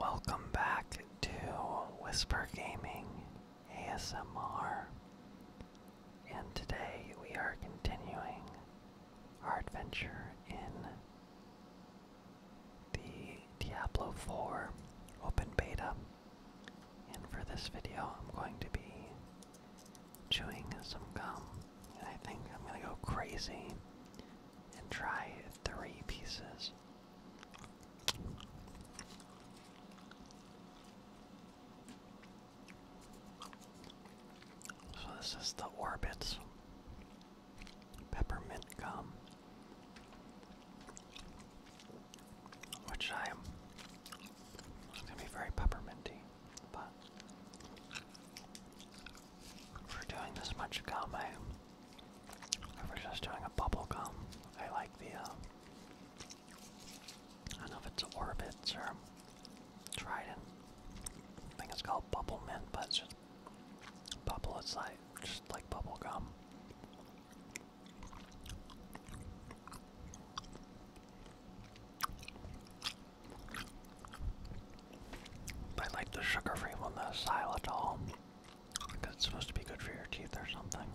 Welcome back to Whisper Gaming ASMR, and today we are continuing our adventure in the Diablo 4 Open Beta. And for this video, I'm going to be chewing some gum, and I think I'm gonna go crazy and try three pieces. So this is the Orbits peppermint gum, which I am. gonna be very pepperminty, but for doing this much gum. I, I was just doing a bubble gum. I like the, uh, I don't know if it's Orbits or Trident. I think it's called Bubble Mint, but it's just bubble. It's like, just like bubble gum. I like the sugar free one, the xylitol, because it's supposed to be good for your teeth or something.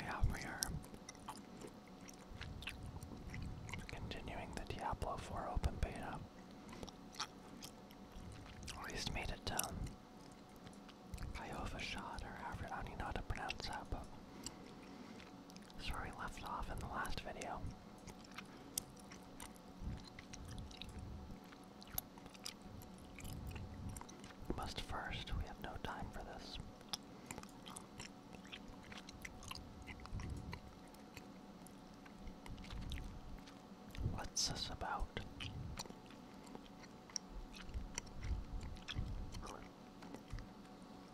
Yeah, we are continuing the Diablo 4 open beta. Or at made it to Shot, or I don't even know how to pronounce that, that's where we left off in the last video. Must first, we have no time for this. What's this about?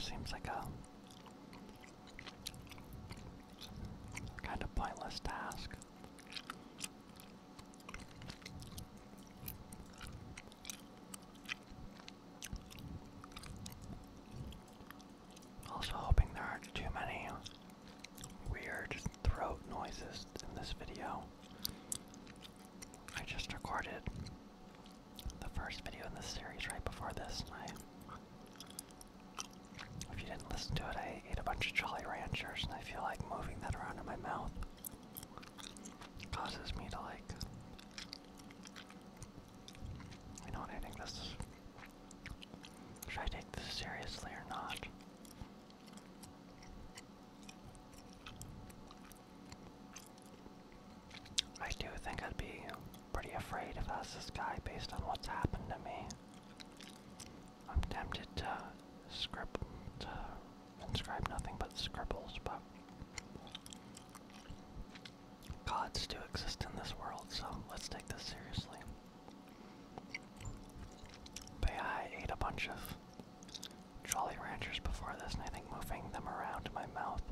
Seems like a kind of pointless task. Also, hoping there aren't too many weird throat noises in this video. I just recorded the first video in this series right before this, I. If you didn't listen to it, I ate a bunch of Jolly Ranchers, and I feel like moving that around in my mouth causes me to like. I think this is. Should I take this seriously or not? I do think I'd be pretty afraid if that's was this guy based on what's happened to me. I'm tempted to scribble, to inscribe nothing but scribbles, but gods do exist in this world, so let's take this seriously. But I ate a bunch of Jolly Ranchers before this, and I think moving them around my mouth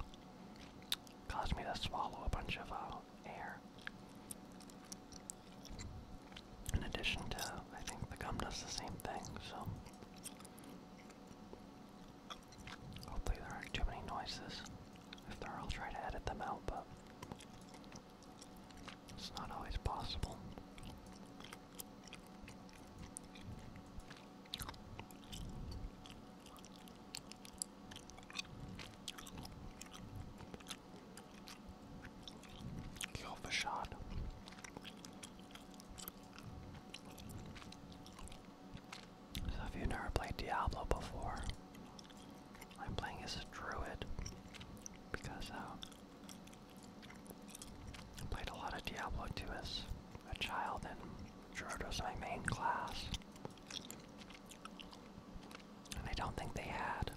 caused me to swallow a bunch of uh, air. In addition to, I think the gum does the same thing, so. Hopefully, there aren't too many noises. If there are, I'll try to edit them out, but it's not always possible. Give off a shot. So if you've never played Diablo before, I'm playing as a druid because uh, I played a lot of Diablo 2 as a child and Gerard was my main class. And I don't think they had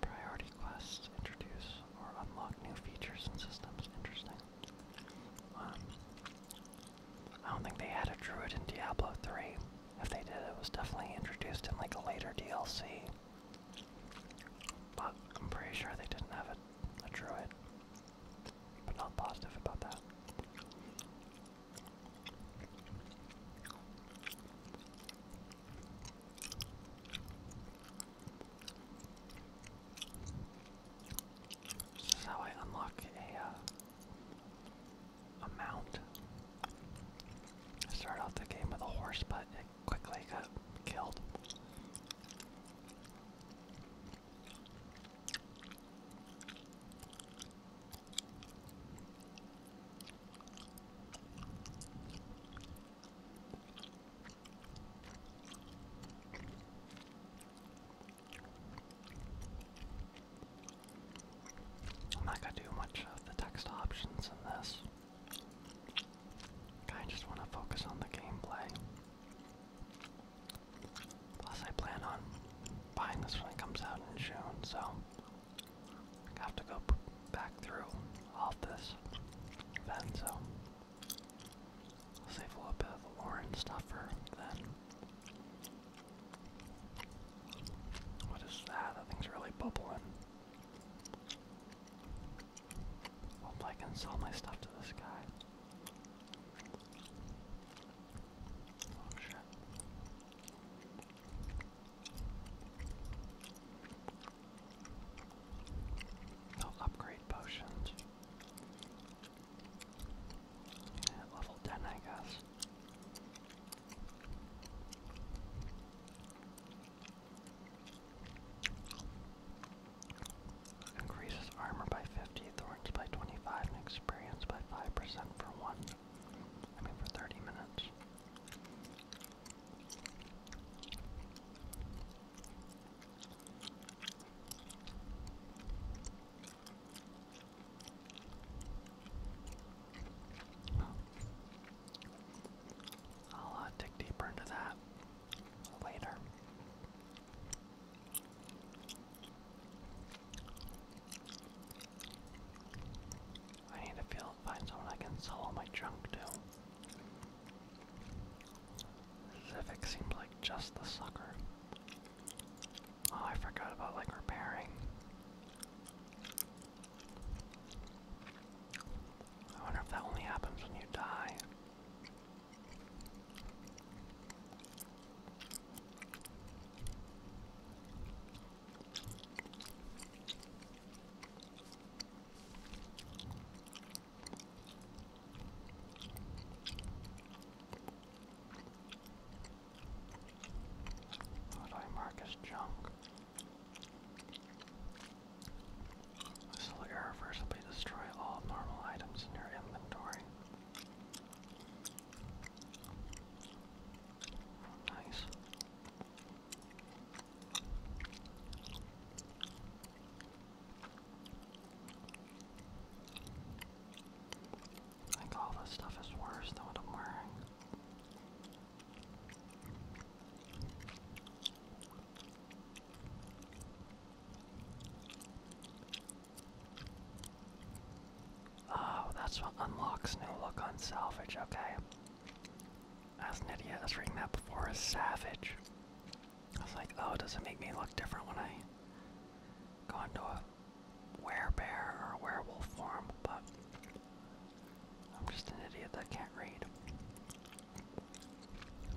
priority quests introduce or unlock new features and systems. Interesting. Um, I don't think they had a druid in Diablo 3. If they did, it was definitely introduced in like a later DLC. But I'm pretty sure they didn't have a druid but not positive about that. This is how I unlock a uh, a mount. I started off the game with a horse, but it quickly got killed. I'm not gonna do much of the text options in this. I just want to focus on the gameplay. Plus, I plan on buying this when it comes out in June, so I have to go back through all this then, so save a little bit of Lauren stuff for then. What is that? That thing's really bubbling. Hope I can sell my stuff to this guy. Oh, shit. upgrade potions. level 10, I guess. Increases armor by 50, thorns by 25, and experience by 5% for one. I mean, for 30 minutes. I'll uh, dig deeper into that later. I need to feel find someone I can sell my junk to. Civic seems like just the sucker. Oh, I forgot about like repairing. I wonder if that only happens when you die. I mark as junk? This will irreversibly destroy all normal items in your inventory. Nice. I think all this stuff is worse than what I'm wearing. Oh, that's what unlocks new look on salvage, okay. As an idiot, I was reading that before as savage. I was like, oh, does it make me look different when I go into a werebear or a werewolf form? But I'm just an idiot that can't read.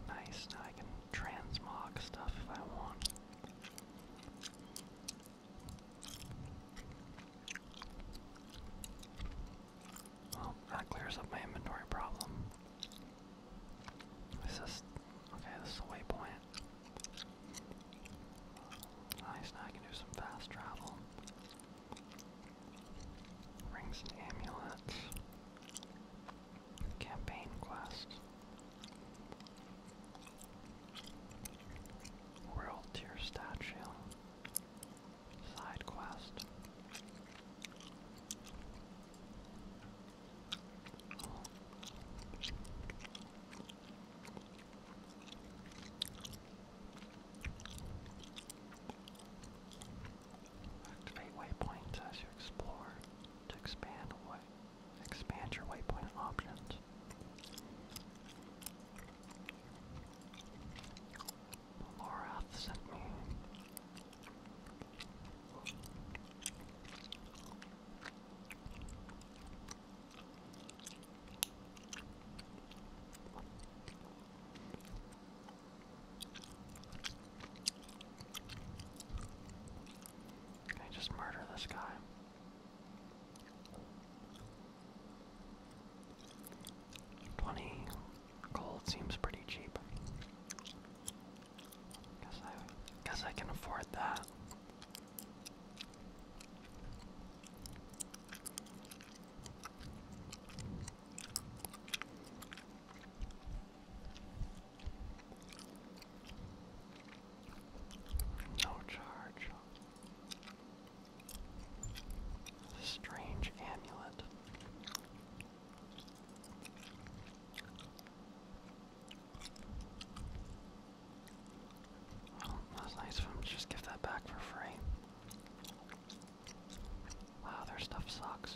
Nice, now I can transmog stuff if I want. Well, that clears up my inventory problem. This is okay, this is a waypoint. Nice, now I can do some fast travel. Rings and amulets. Campaign quest. World tier statue. Side quest. Activate waypoint as you explore to expand way Expand your waypoint options. Laura sent me can I just murder this guy? Twenty gold seems pretty cheap. Guess I guess I can afford that. No charge. strange amulet. Well, that nice of him to just give that back for free. Wow, their stuff sucks.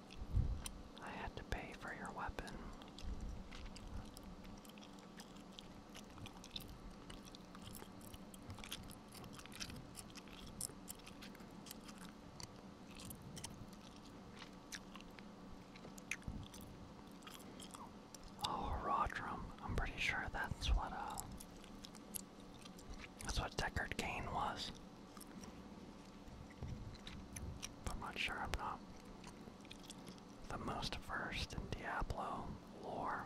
I had to pay for your weapon. Oh, Rodrum. I'm pretty sure that's what uh, that's what Deckard Kane was. I'm not sure I'm not the most versed in Diablo lore.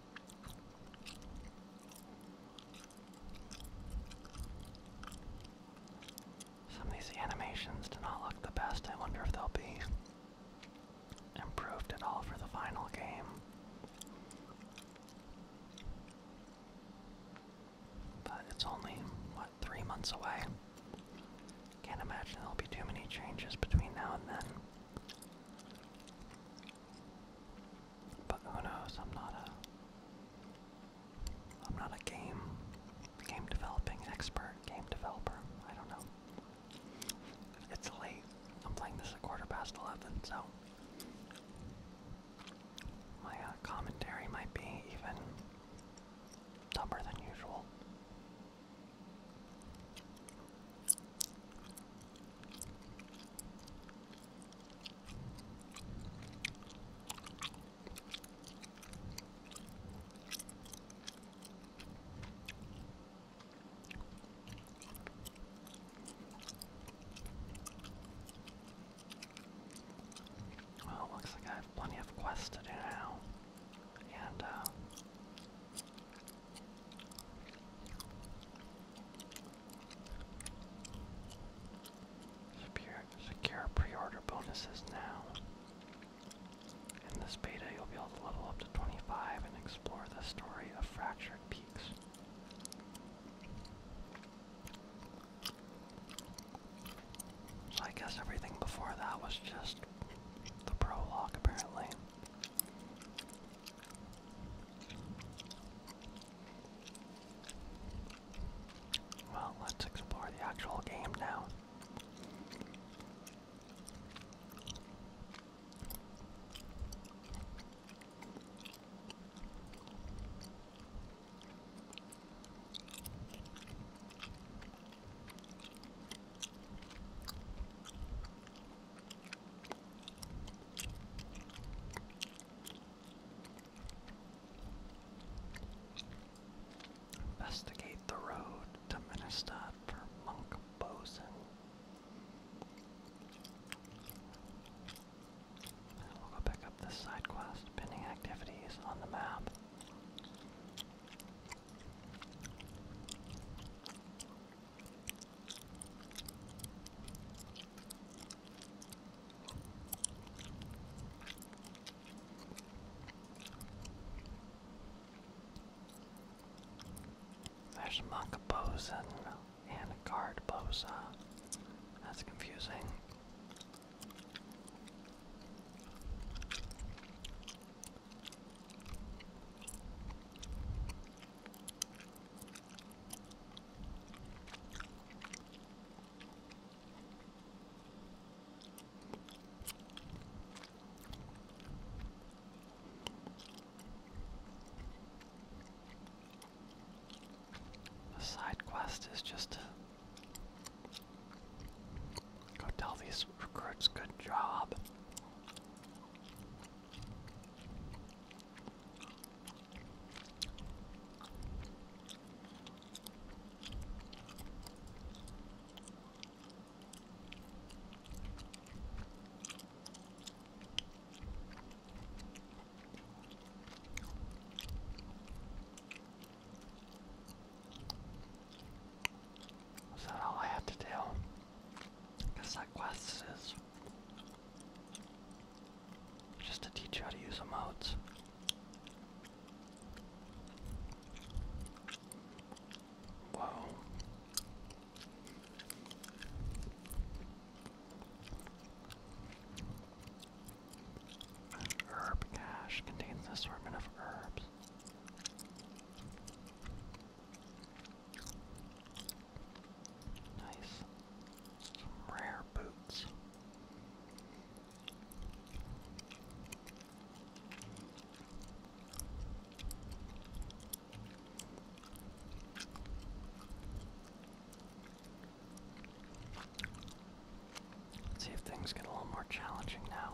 Some of these animations do not look the best. I wonder if they'll be improved at all for the final game. But it's only, what, three months away? Can't imagine there'll be too many changes between now and then. But who knows? I'm not a I'm not a game game developing expert, game developer. I don't know. It's late. I'm playing this at quarter past eleven, so my uh, commentary might be even dumber than usual. Well, looks like I have plenty of quests to do now. And, uh, Secure, pre-order bonuses now. In this beta, you'll be able to level up to 25 and explore the story of Fractured Peaks. So I guess everything before that was just the prologue, apparently. Well, let's explore the actual game now. Investigate the road to Ministad for Monk Bosun. We'll go pick up this side pending activities on the map. There's a monk bosun and a guard bosa. That's confusing. The side quest is just to go tell these recruits good job. Is that all I have to do? I guess just to teach you how to use emotes. Whoa. herb cache contains an assortment of herbs. Nice. Some rare boots. Let's see if things get a little more challenging now.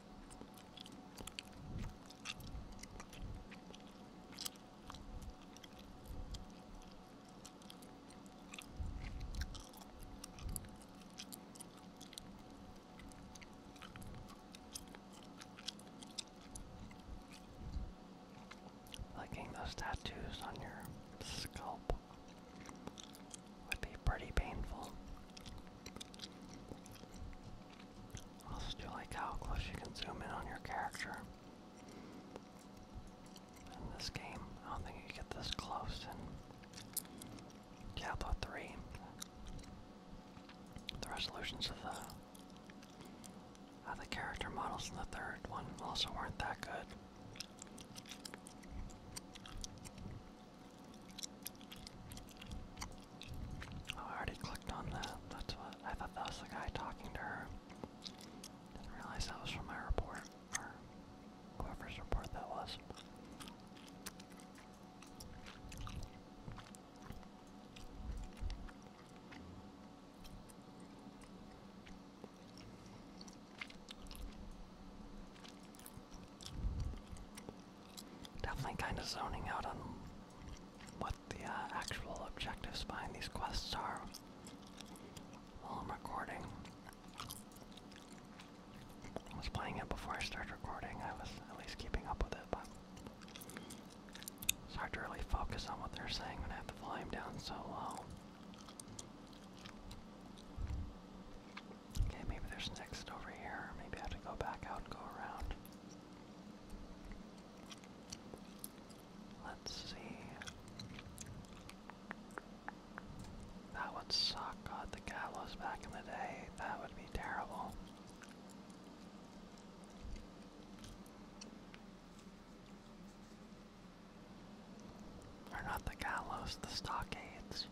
Licking those tattoos on your scalp would be pretty painful. I also do like how close you can zoom in on your character. In this game, I don't think you get this close in Diablo 3. The resolutions of the uh, the character models in the third one also weren't that good. Oh, I already clicked on that. That's what I thought that was the guy talking to her. Didn't realize that was from my report, or whoever's report that was. Definitely kind of zoning out on what the uh, actual objectives behind these quests are while I'm recording. I was playing it before I started recording, I was at least keeping up with it, but it's hard to really focus on what they're saying when I have the volume down so low. Okay, maybe there's next over here. Maybe I have to go back out and go around. Let's see. That would suck. God, the gallows back in the day. That would be terrible. Are not the gallows, the stockades.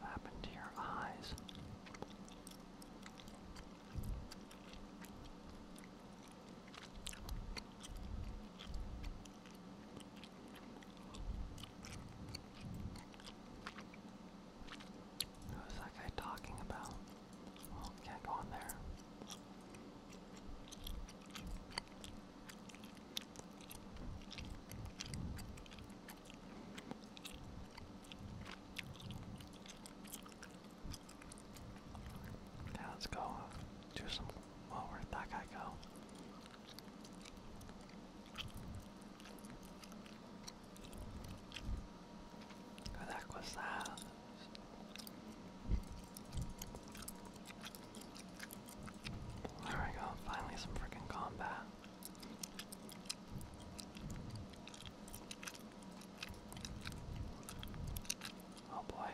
What happened to your eyes? Who's that guy talking about? Oh, can't go in there. Now let's go do some. where did that guy go? What was that? There we go, finally some freaking combat. Oh boy.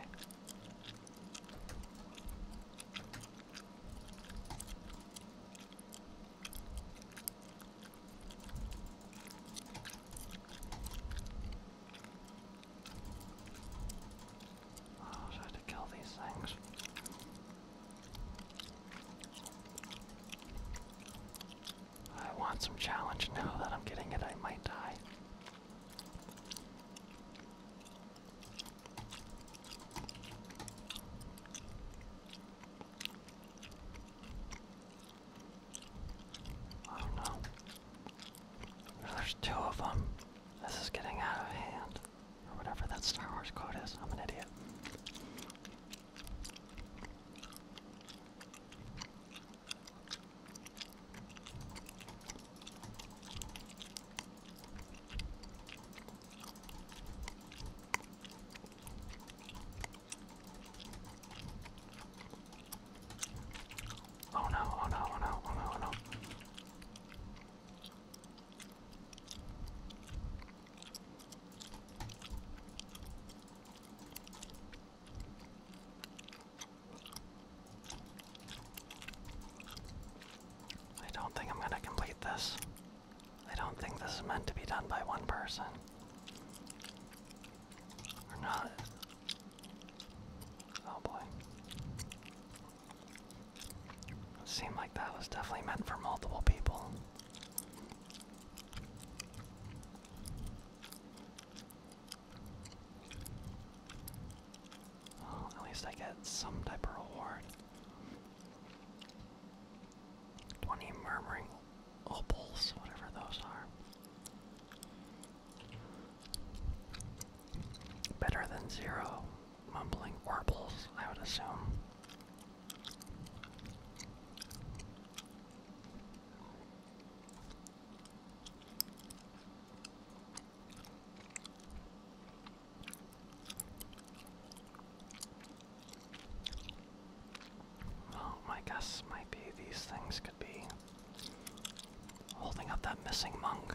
Oh, so I to kill these things. I want some challenge now that I'm getting it, I might die. Oh no. There's two of them. This is getting out of hand. Or whatever that Star Wars quote is. I'm an idiot. Oh no, oh no, oh no, oh no, oh no. I don't think I'm going to complete this. I don't think this is meant to be done by one person. Or not. Oh boy. Seemed like that was definitely meant for multiple people. at least I get some type of reward. 20 murmuring opals, whatever those are. Better than zero mumbling warbles, I would assume. Well, my guess might be these things could be holding up that missing monk.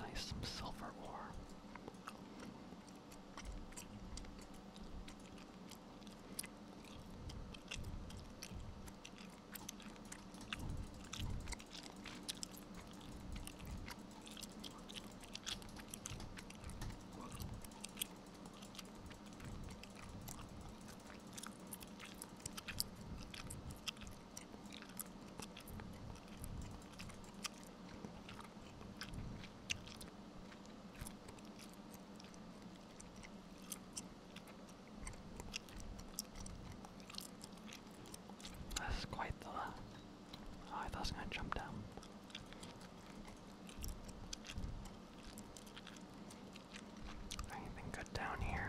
Nice, some silver ore. That's quite the I thought I was going to jump down. Anything good down here?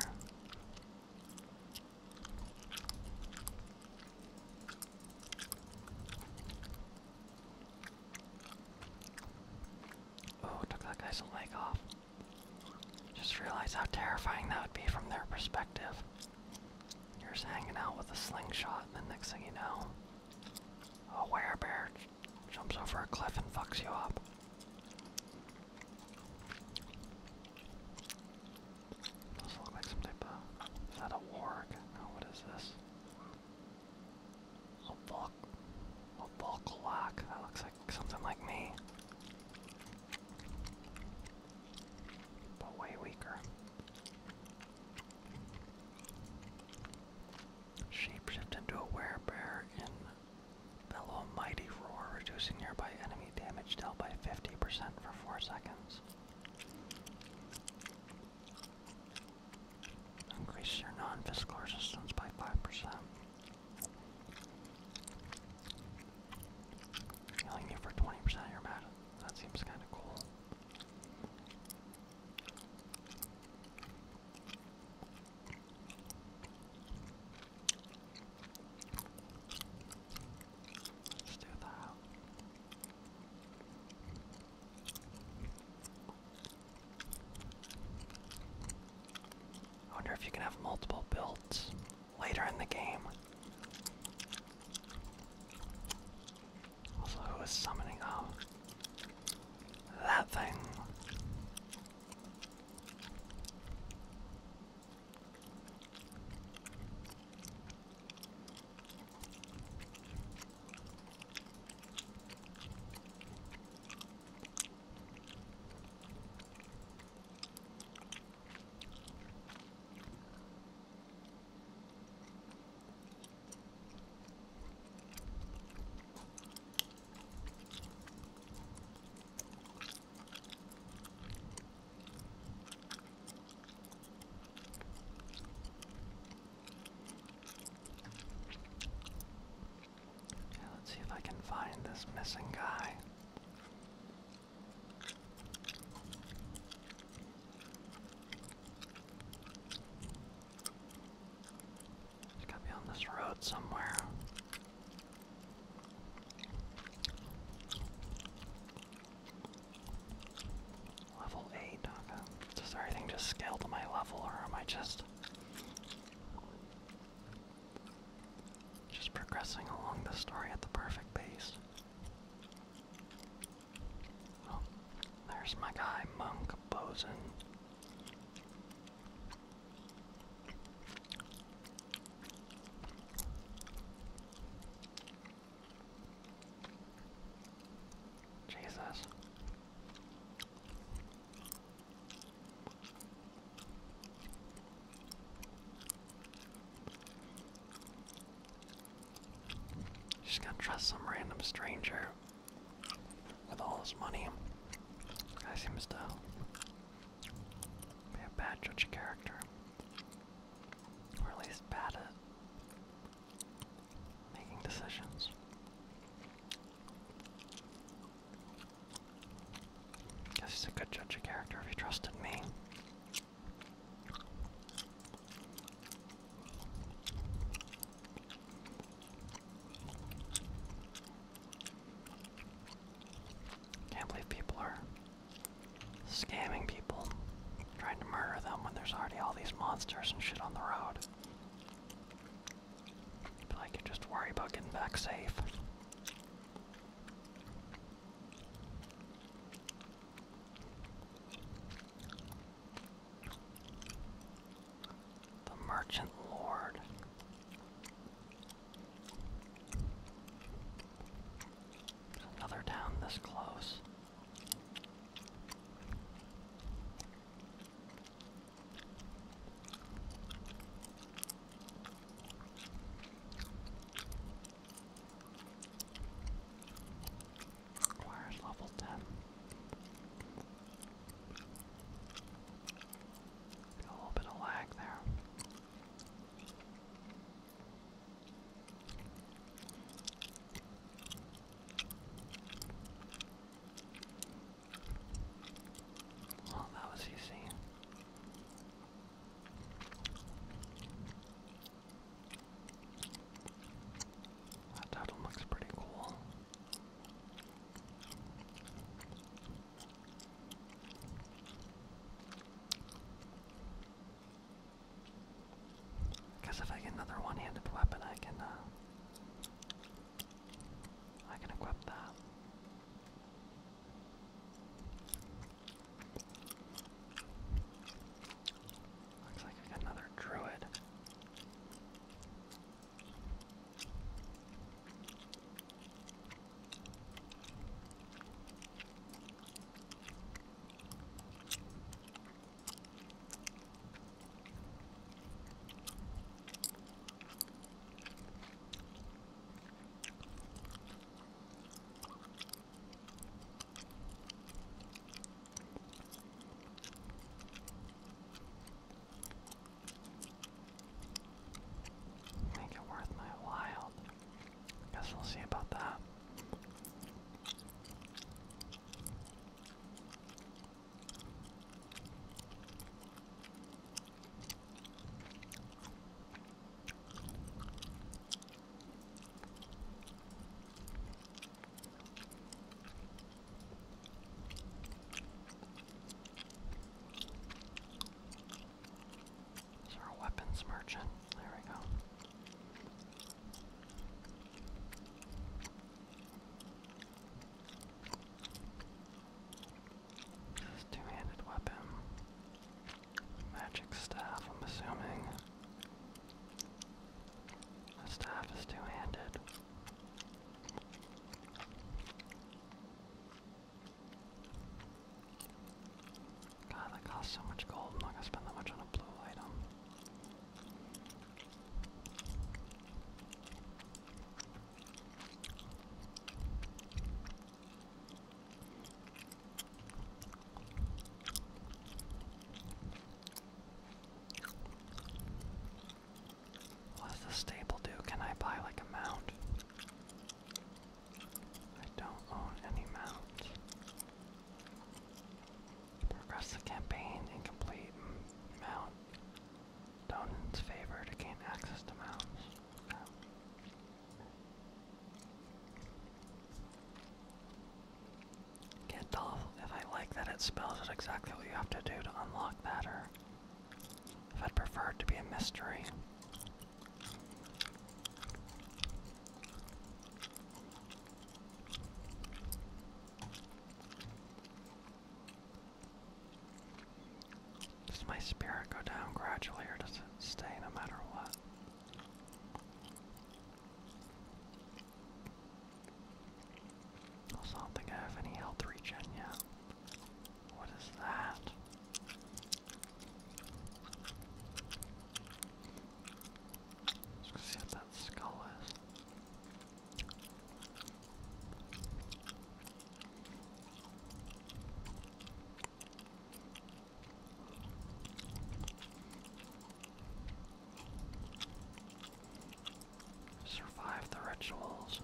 Oh, took that guy's leg off. Just realize how terrifying that would be from their perspective. You're just hanging out with a slingshot, and the next thing you know, a werebear jumps over a cliff and fucks you up. Those look like some type of. Is that a warg? what is this? A bulk. A bulk That looks like something like me. But way weaker. Shapeshift into a werbear and bellow a mighty roar, reducing nearby enemy damage dealt by 50% for 4 seconds. Increase your non-physical resistance by 5%. Healing you for 20% of your magic. That seems kind of cool. I wonder if you can have multiple builds later in the game. Also, who is summoning up um, that thing? let's see if I can find this missing guy. It's gotta on this road somewhere. Level 8, Does everything just scale to my level or am I just just progressing along the story at the perfect pace? there's my guy, Monk Bosun. Jesus. Just gonna trust some random stranger with all his money. This guy seems to be a bad judge of character. Or at least bad at making decisions. Guess he's a good judge of character if he trusted me. Can't believe people are scamming people, trying to murder them when there's already all these monsters and shit on the road. I could just worry about getting back safe. The merchant lord. another town this close. Where's level 10? Got a little bit of lag there. Well, that was easy. That title looks pretty cool. Because if I get another one-handed weapon, I can, uh, I can equip that. Looks like we got another druid. Make it worth my while. Guess we'll see about that. Is our weapons merchant? There we go. This two-handed weapon. Magic staff, I'm assuming. The staff is two-handed. God, that costs so much gold. I'm not gonna spend that much on a blue item. What does the stable do? Can I buy like a mount? I don't own any mounts. Progress the campaign and complete mount. Donan's favor to gain access to mounts. Get off. If I like that it spells out exactly what you have to do to unlock that, or if I'd prefer it to be a mystery. Does my spirit go down gradually or does it stay no matter what? I don't think I have any health regen yet. What is that? Let's go see what that skull is. Survive the rituals.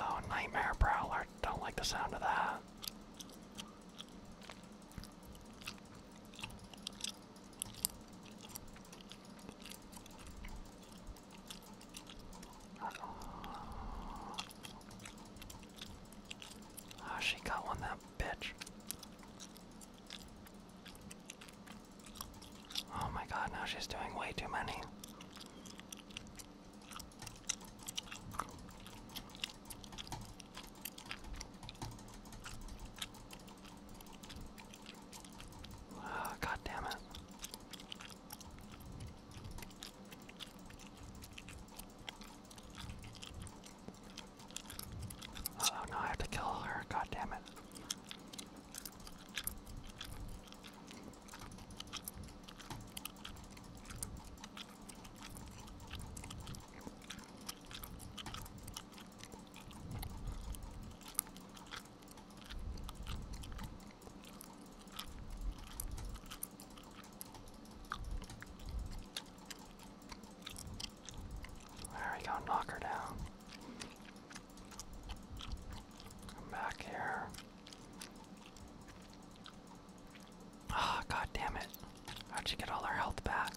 Uh Nightmare Prowler. Don't like the sound of that oh, she got one, that bitch. Oh my god, now she's doing way too many. Oh, God it. Oh no, I have to kill her, god damn it. There we go, knock her down. Come back here. Ah, god damn it. How'd you get all her health back?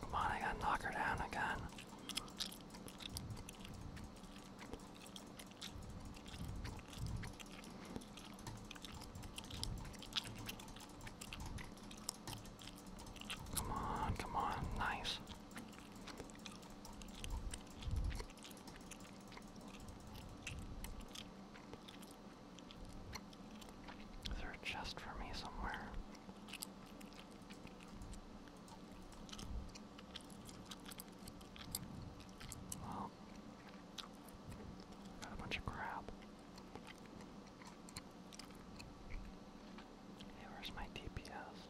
Come on, I gotta knock her down again. Come on, come on, nice. Is there a chest for me somewhere? Well, got a bunch of crap. Hey, where's my DPS?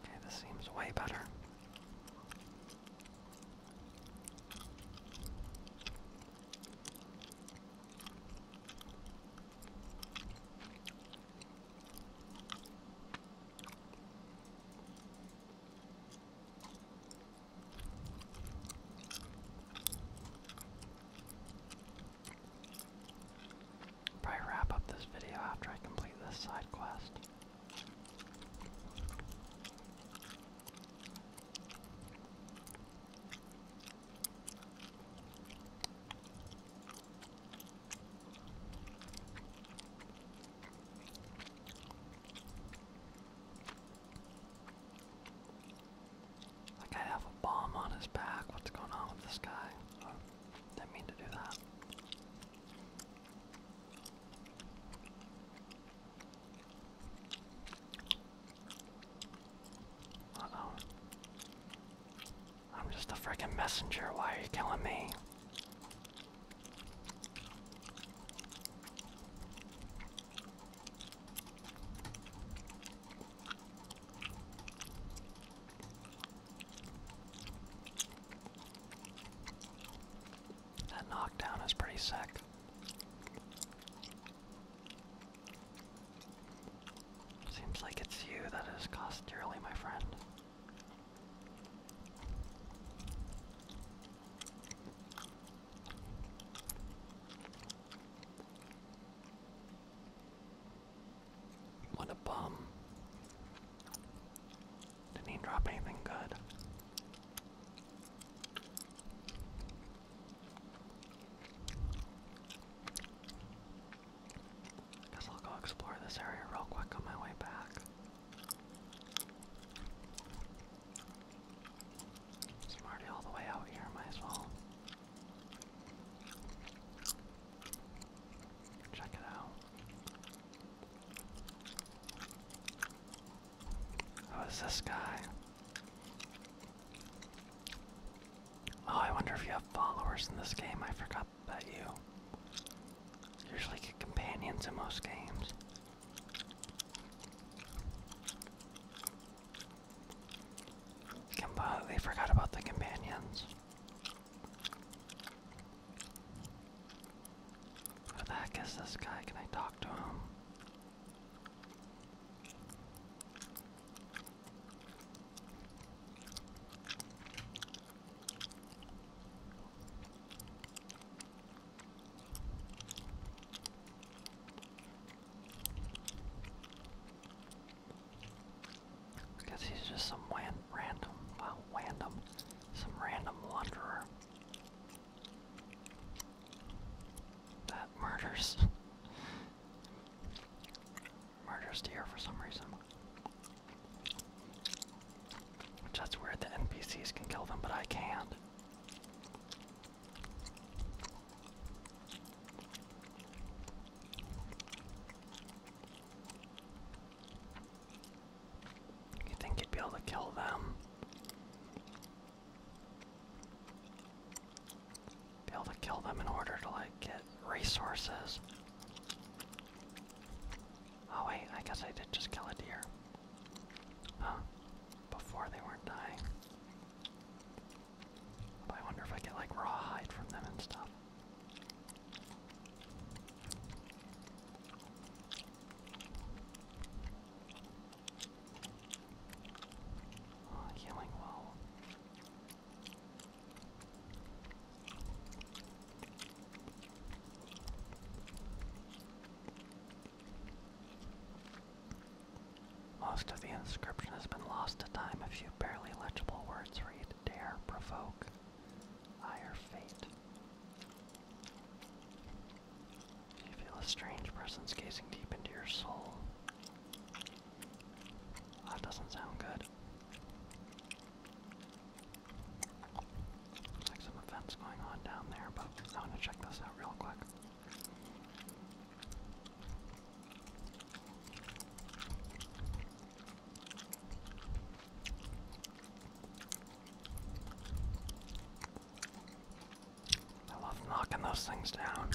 Okay, this seems way better. Probably wrap up this video after I complete this side quest. That guy have a bomb on his back. What's going on with this guy? Oh, didn't mean to do that. I'm just a freaking messenger. Why are you killing me? That knockdown is pretty sick. Seems like it's you that has cost dearly, my friend. What a bum. Didn't he drop anything good? Guess I'll go explore this area real quick on my way back. i all the way out here, might as well check it out. Who is this guy? Oh, I wonder if you have followers in this game. I forgot about you. usually get companions in most games. Completely forgot about the companions. Where the heck is this guy? Can I talk to him? Guess he's just some random, wow, random, some random wanderer. That murders. murders deer for some reason. Which that's weird NPCs can kill them, but I can't. You think you'd be able to kill them? Be able to kill them in order to like get resources. Oh wait, I guess I did just kill a deer. Huh? Before they weren't dying. I wonder if I get like rawhide from them and stuff. Oh, healing well. Most of the inscription has been lost to time. A few barely legible words read, Dare provoke, ire fate. You feel a strange presence gazing deep into your soul. That doesn't sound good. like some events going on down there, but I want to check this out real quick. I love knocking those things down.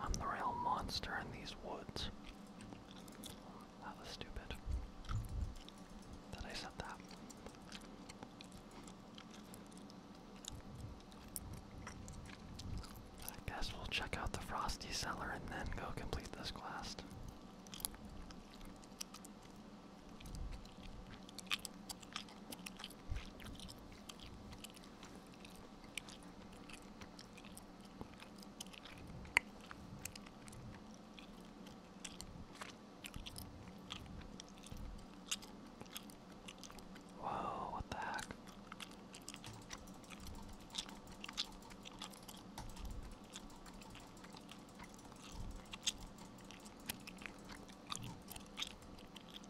I'm the real monster in these woods. That was stupid. That I said that. I guess we'll check out the Frosty Cellar and then go complete this quest. Whoa, what the heck?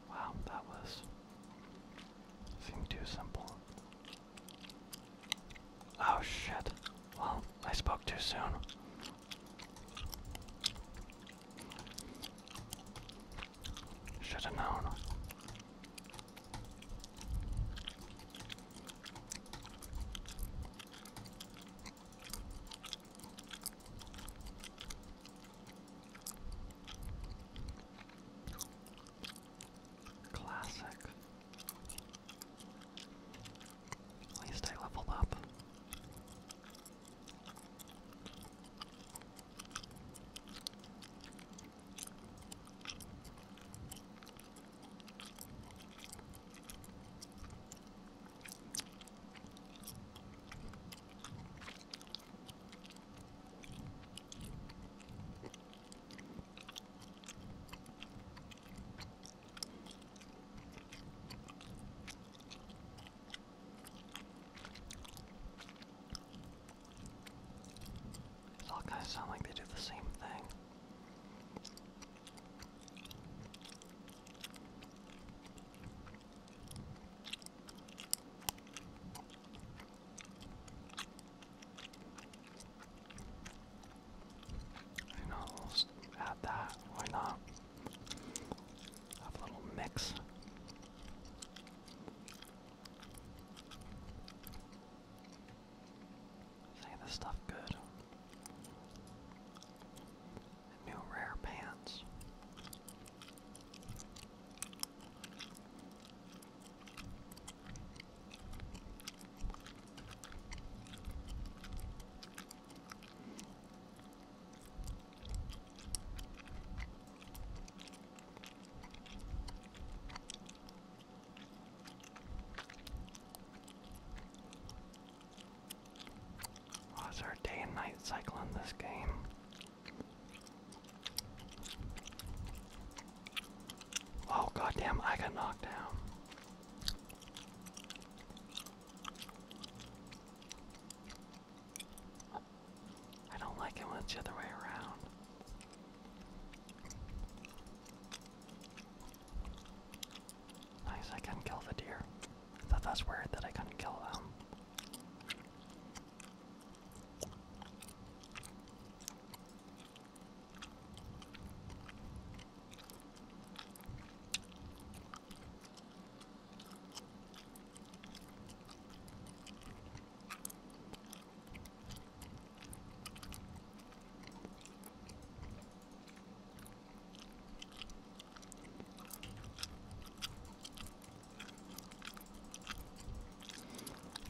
Wow, that was seemed too simple. Oh shit. Well, I spoke too soon. Should have known. Classic. At least I leveled up. It's all kind of sound like they do the same thing. You know, add that. Why not? Have a little mix. Say this stuff good. New rare pants. Oh, is there day and night cycle in this game? Oh goddamn, I got knocked down. I don't like it when it's the other way around. I Nice, I couldn't kill the deer. I thought that's weird that I couldn't kill them.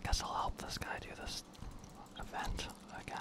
Guess I'll help this guy do this event again.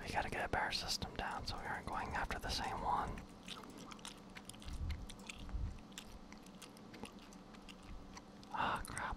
We gotta get a bear system down so we aren't going after the same one. Ah, crap.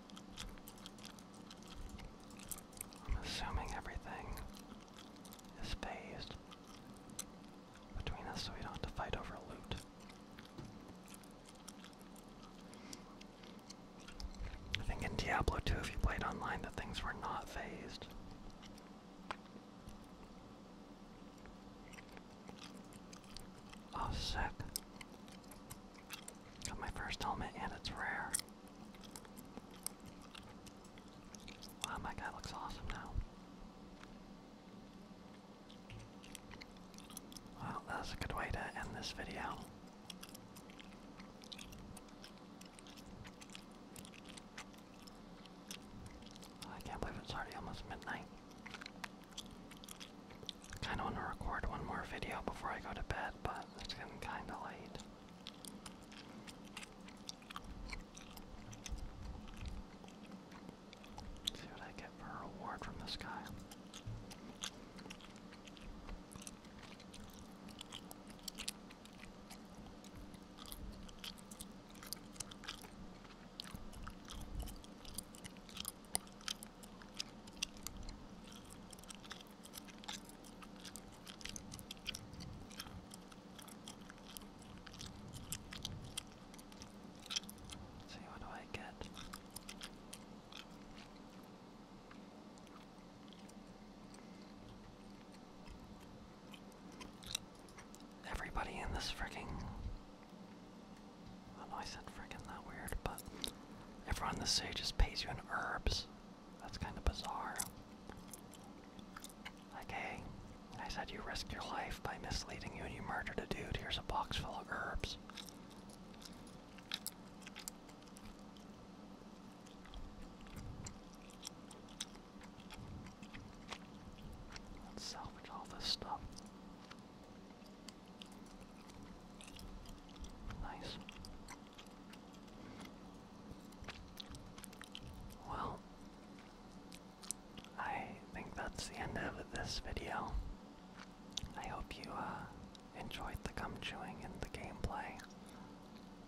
I'm assuming everything is phased between us so we don't have to fight over loot. I think in Diablo 2, if you played online, the things were not phased. Oh, sick. Got my first helmet, and it's rare. Wow, my guy looks awesome now. Wow, that's a good way to end this video. I can't believe it's already almost midnight. Kind of want to record one more video before I go to bed, but it's getting kind of late. see what I get for a reward from this guy see what do I get? Everybody in this frigging. I know I said freaking that weird, but everyone the age just pays you in herbs. That's kind of bizarre. Like, I said you risked your life by misleading you and you murdered a dude. Here's a box full of herbs. Let's salvage all this stuff. Nice. Well, I think that's the end of this video. I hope you uh, enjoyed the gum chewing and the gameplay.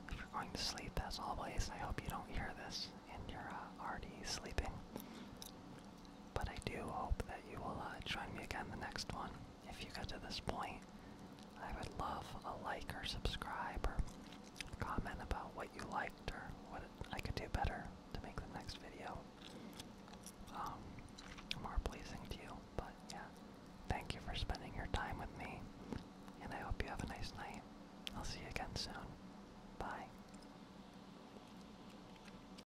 If you're going to sleep, as always, I hope you don't hear this and you're uh, already sleeping. But I do hope that you will uh, join me again the next one. If you got to this point, I would love a like or subscribe or comment about what you liked or what I could do better to make the next video um, more pleasing to you. But yeah, thank you for spending your time with me, and I hope you have a nice night. I'll see you again soon. Bye.